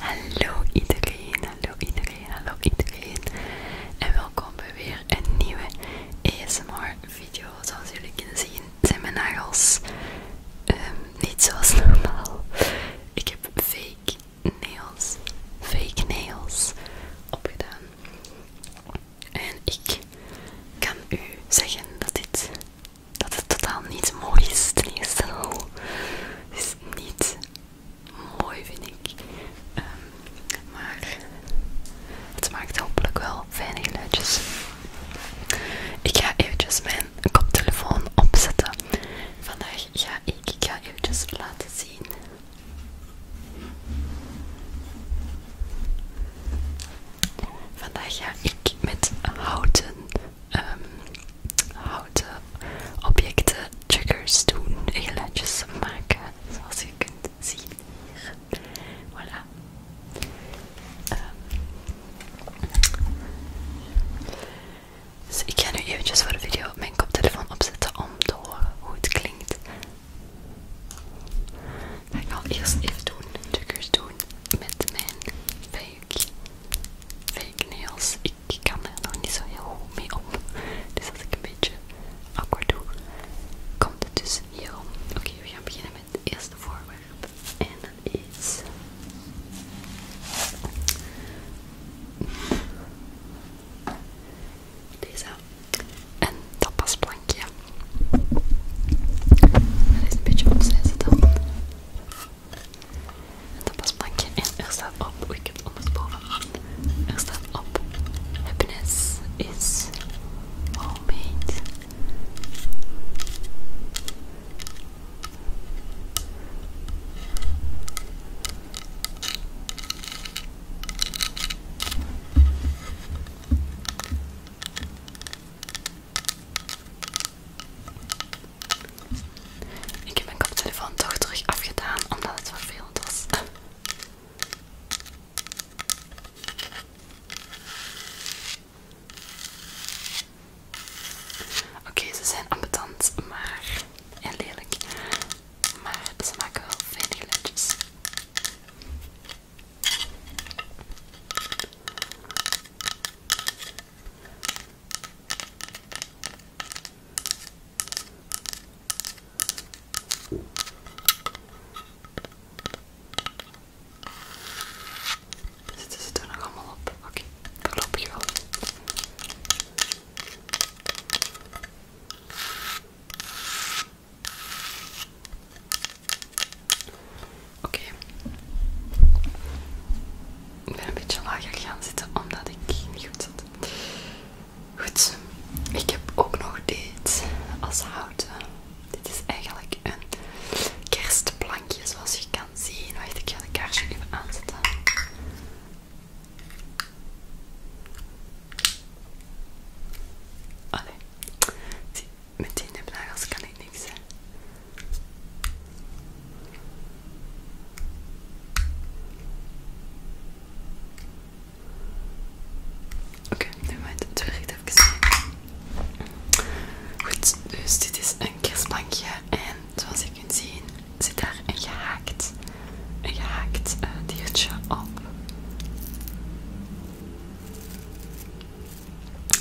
Hallo iedereen, hallo iedereen, hallo iedereen en welkom bij weer een nieuwe ASMR video. Zoals jullie kunnen zien zijn mijn nagels ehm, niet zoals normaal. Ik heb fake nails, fake nails opgedaan. En ik kan u zeggen dat dit dat het totaal niet mooi is ten eerste oh, is niet mooi vind ik. Ehm, maar het maakt hopelijk wel fijne geluidjes. Ik ga eventjes mijn koptelefoon opzetten. Vandaag ga ik, ik ga eventjes laten zien Vandaag ga ik met houten, ehm, houten objecten triggers doen, geluidjes maken, zoals je kunt zien Voilà. Ehm, dus ik ga nu eventjes voor de video mijn koptelefoon opzetten om te horen hoe het klinkt ik ga eerst even doen, trucjes doen met mijn fake, fake nails. Ik, kan er nog niet zo heel goed mee om. Dus als ik een beetje akkoord doe, komt het dus hierom. Oké, we gaan beginnen met het eerste voorwerp. En dat is... Deze dat plankje, Dat is een beetje dan. En dat En er staat op, oh, ik heb het Er op, happiness is homemade. Ik heb mijn koptelefoon toch terug afgedaan omdat het vervelend was. Oké, ze zijn ambetant, maar en lelijk. Maar ze maken wel fijne geluidjes. Zitten ze er nog allemaal op? Oké, okay. voorlopig wel. Oké. Ik ben een beetje lager gaan zitten omdat ik niet goed zat. Goed, ik heb ook nog dit als houten. Dit is eigenlijk een kerstplankje zoals je kan zien. Wacht, ik ga de kaarsje even aanzetten. Allee, Zie met die nipnagels kan ik niks, Oké, nu moet het terug even Goed, dus dit is een kerstplankje en zoals je kunt zien zit daar een gehaakt, een gehaakt eh, diertje op.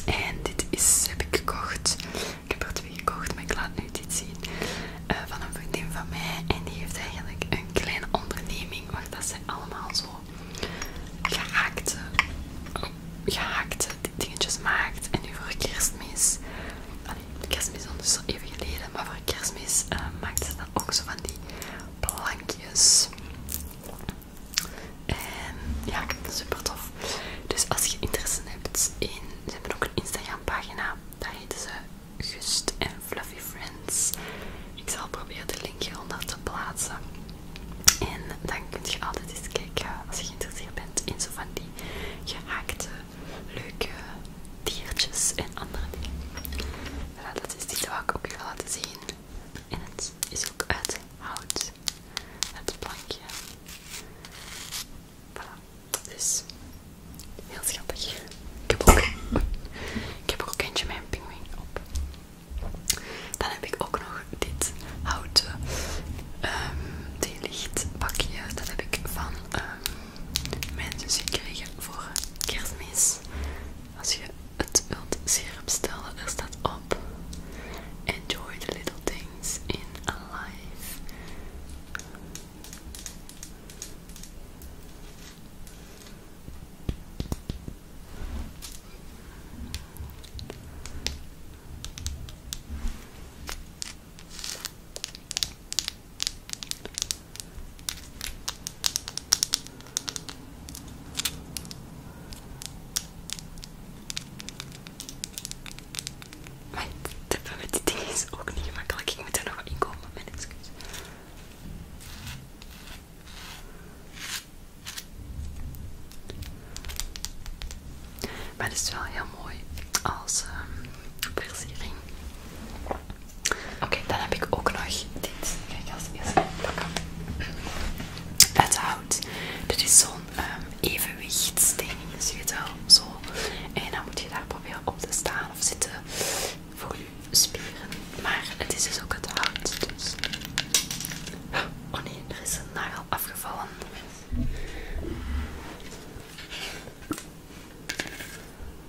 En dit is, heb ik gekocht. Ik heb er twee gekocht, maar ik laat nu dit zien. Eh, van een vriendin van mij. En die heeft eigenlijk een kleine onderneming waar dat ze allemaal zo gehaakte, gehakte dingetjes maakt. En nu voor kerstmis, kerstmis is al even geleden, maar voor kerstmis eh, maakt ze dan ook zo van die plankjes. En ja, ik vind het super tof. Dus als je interesse hebt in... Ze hebben ook een Instagram pagina. Daar heet ze Gust en Fluffy Friends. Ik zal proberen de link hieronder te plaatsen. En dan kunt je altijd eens kijken, als je geïnteresseerd bent, in zo van die gehaakte, leuke diertjes en andere dingen. Voilà, dat is die wat ik ook wil laten zien. En het is ook uit hout. Het plankje. Voilà. Dus heel schattig. Ik heb ook, ik heb ook eentje mijn pinguin op. Dan heb ik ook nog dit houten licht ehm, theelichtbakje. Dat heb ik van mijn ehm, zusje gekregen voor kerstmis. Als je het sirup stellen, er staat up. Enjoy the little things in life. Maar het hebben met die dingen is ook niet gemakkelijk. Ik moet er nog wat in komen, mijn excuus. Maar het is wel heel mooi als um, ehm, persering. Oké, dan heb ik ook nog dit. Kijk, als eerste plakken. Het hout. Dit is zo'n um, ehm, evenwichtsding, dus je weet wel, zo. En dan moet je daar proberen op te staan of zitten voor je spieren. Maar het is dus ook het hout, dus... Oh nee, er is een nagel afgevallen.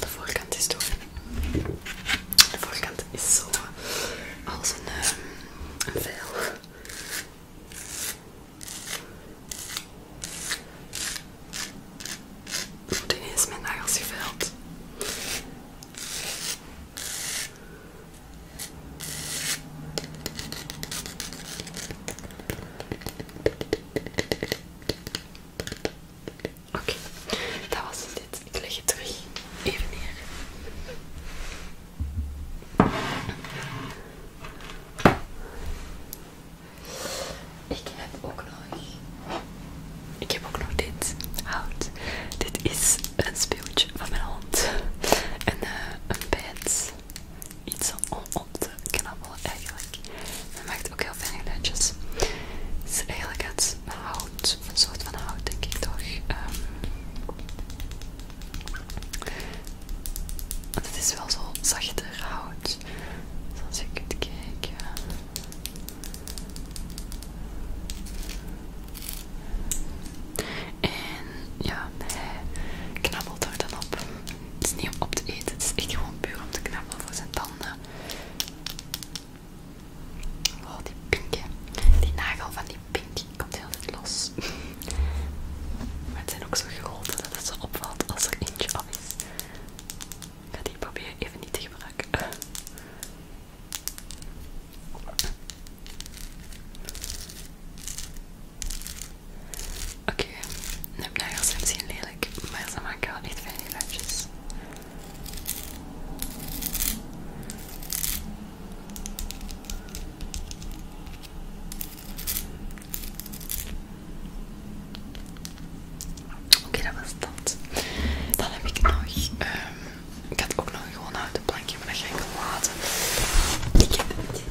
de voorkant is doen. De voorkant is zo eh, als een, um, een veil. Ik moet ineens mijn nagels Oké, dat was dit. Ik leg het terug even neer. Ik heb ook nog... Ik heb ook nog dit hout. Dit is een speeltje van mijn hond. En eh, een bed iets om op te knabbelen eigenlijk. Hij maakt ook heel fijne geluidjes. Het is eigenlijk het hout, een soort van hout denk ik toch. Ehm, het is wel zo zachter hout. Zoals je kunt kijken. En ja, hij knabbelt er dan op. Het is niet om op te eten, het is echt gewoon puur om te knappen voor zijn tanden. Oh, die pink, die nagel van die pink komt heel net los. maar het zijn ook zo groot dat het zo opvalt als er eentje af is. maar ga die proberen even niet te gebruiken. Oké, nu heb ik de nagels zijn misschien lelijk, maar ze maken wel niet veel geluidjes. Oké, dat was dat. Dan heb ik nog... Ehm, ik had ook nog een gewoon de plankje, maar dat ga ik laten. Ik heb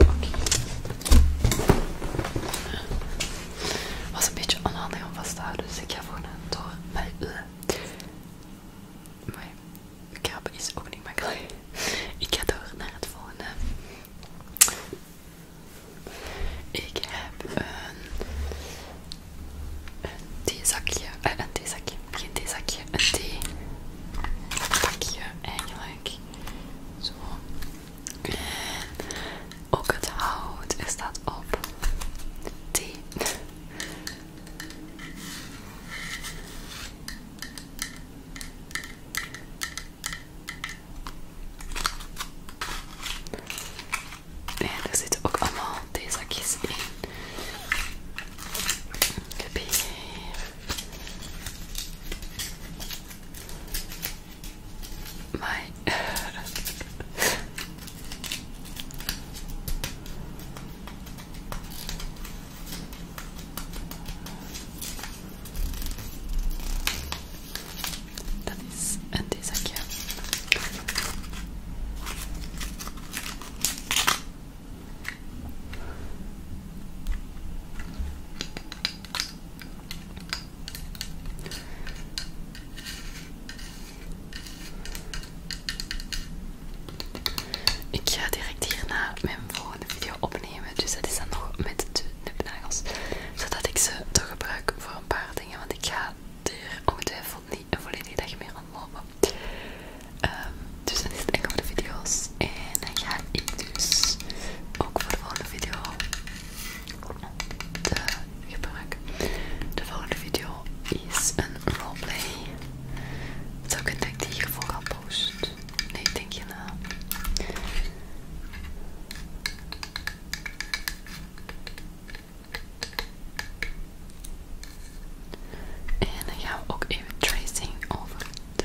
Oké. Was een beetje onhandig om vast te houden, dus ik ga gewoon door. Maar, maar krabben is ook niet makkelijk. Ik ga door naar het volgende. Ik heb een, een theezakje, eh, een theezakje, geen theezakje, een theepakje eigenlijk. Zo. En ook het hout is dat op. T. En er zitten ook allemaal theezakjes in. Ik heb hier My That is and this again. Ik ga direct hierna mijn volgende video opnemen, dus dat is dan nog met de nipnagels, zodat ik ze toch gebruiken voor een paar dingen, want ik ga er ongetwijfeld niet een volledige dag mee Ehm, dus dat is het enkele van video's. En dan ga ik dus ook voor de volgende video de gebruik. De volgende video is een roleplay. Zou ik denk dat ik hiervoor ga posten? Nee, denk je na. En dan gaan we ook even tracing over de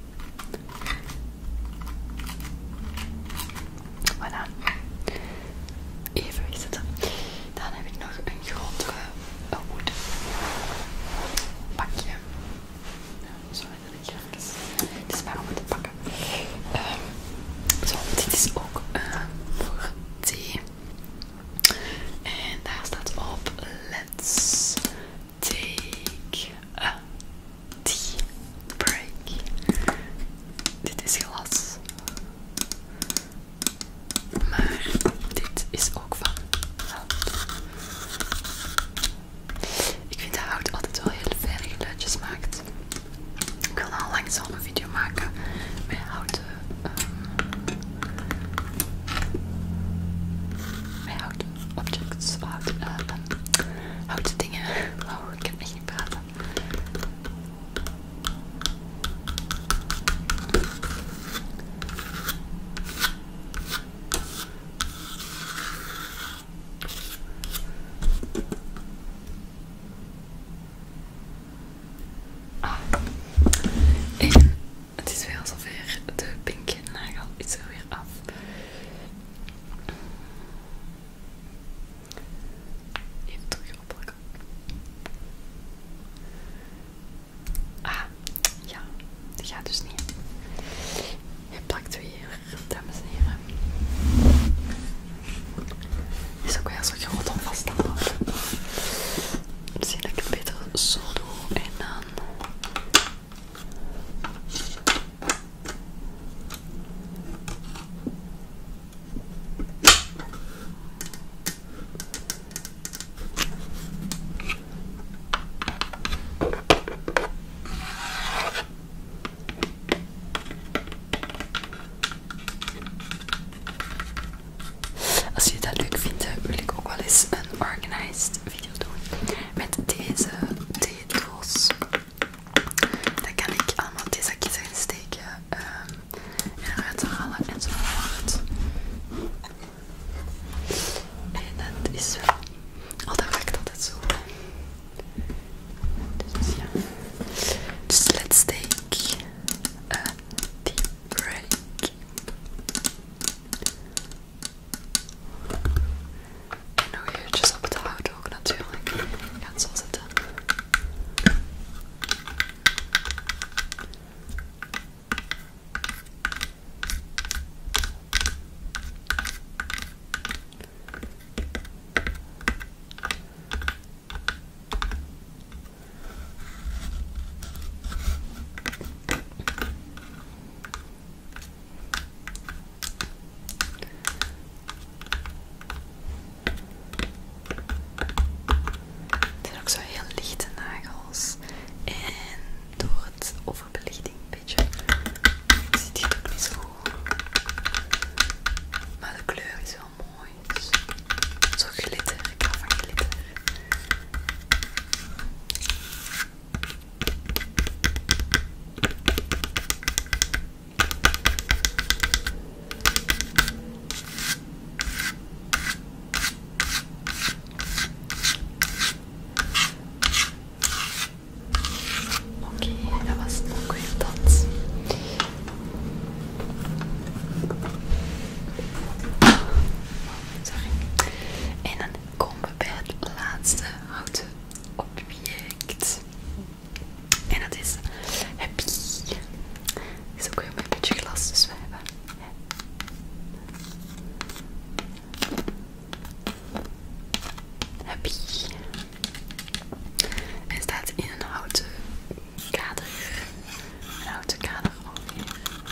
Voilà. Even wegzetten. Dan heb ik nog een grotere uh, wood pakje. sorry dat ik Het is maar om te pakken. Ehm, zo, dit is ook eh, voor thee. En daar staat op, let's take a die break. Dit is glas. Maar dit is ook van hout. Ik vind dat hout altijd wel heel fijne geluidjes maakt. Ik wil al een zo'n video maken met houten. Ehm, houten objects. Eh, houten dingen. Oh, ik heb echt niet praten. Ah. het is weer zover. De pink nagel is er weer af. Even terug oppakken. Ah, ja, die gaat dus niet. Je plakt weer, dames en heren. Is ook wel weer zo groot om vast te houden. Misschien dat ik het beter zo doe en dan als je dat leuk vindt, wil ik ook wel eens een organized video doen met deze zetels. Dat kan ik allemaal deze zakjes gaan steken ehm, en eruit halen enzovoort. En dat is wel. Oh, dat werkt altijd zo. Dus ja. Dus let's take a eh, deep break. En je eventjes op het hout ook natuurlijk. Ik ga het zo zitten. Het zijn ook zo heel lichte nagels. En door het overbelichting een beetje ziet dit ook niet zo Maar de kleur is wel mooi. Dus zo glitter. Ik hou van glitter. Oké, dat was het ook En dan komen we bij het laatste houten object. En dat is happy. Is ook weer met een beetje glas, dus we hebben. Happy. Hij staat in een houten kader. Een houten kader alweer.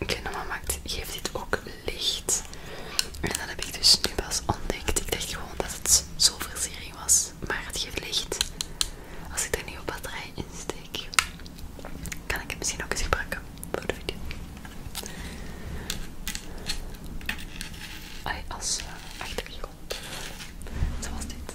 Oké, normaal geeft dit ook licht. En dat heb ik dus nu pas ontdekt. Ik dacht gewoon dat het zo zolverzering was, maar het geeft licht. Als ik er nu op batterij in steek, kan ik het misschien ook eens gebruiken voor de video. Allee, als komt, eh, zo was dit.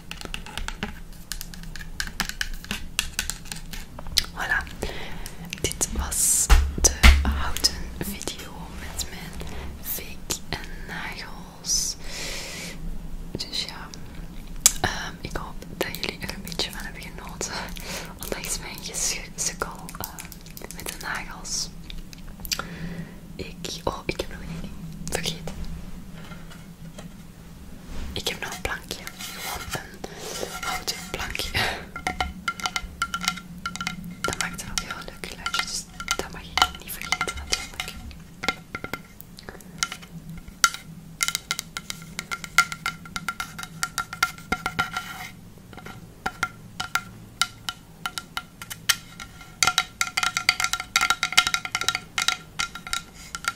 Voilà, dit was de houten video met mijn fake en nagels. Dus ja, ehm, ik hoop dat jullie er een beetje van hebben genoten. Ondanks mijn gesukkel ehm, met de nagels. Ik, oh, ik heb nog één ding vergeten. Ik heb nog een plankje. Gewoon een oud plankje. Dat maakt er ook heel leuk geluidje, dus dat mag je niet vergeten natuurlijk.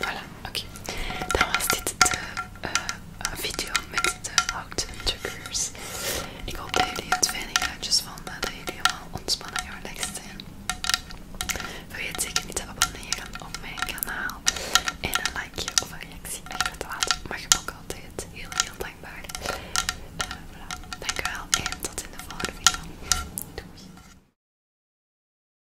Voilà, oké. Dan was dit de eh, video met de houten Ik hoop dat jullie het fijne gaatjes vonden, dat jullie allemaal ontspannen en relaxed zijn. Vergeet zeker niet te abonneren op mijn kanaal. En een likeje of een reactie achter te laten. Mag je ook altijd. Heel, heel dankbaar. Eh, voilà. Dankjewel en tot in de volgende video. Doei.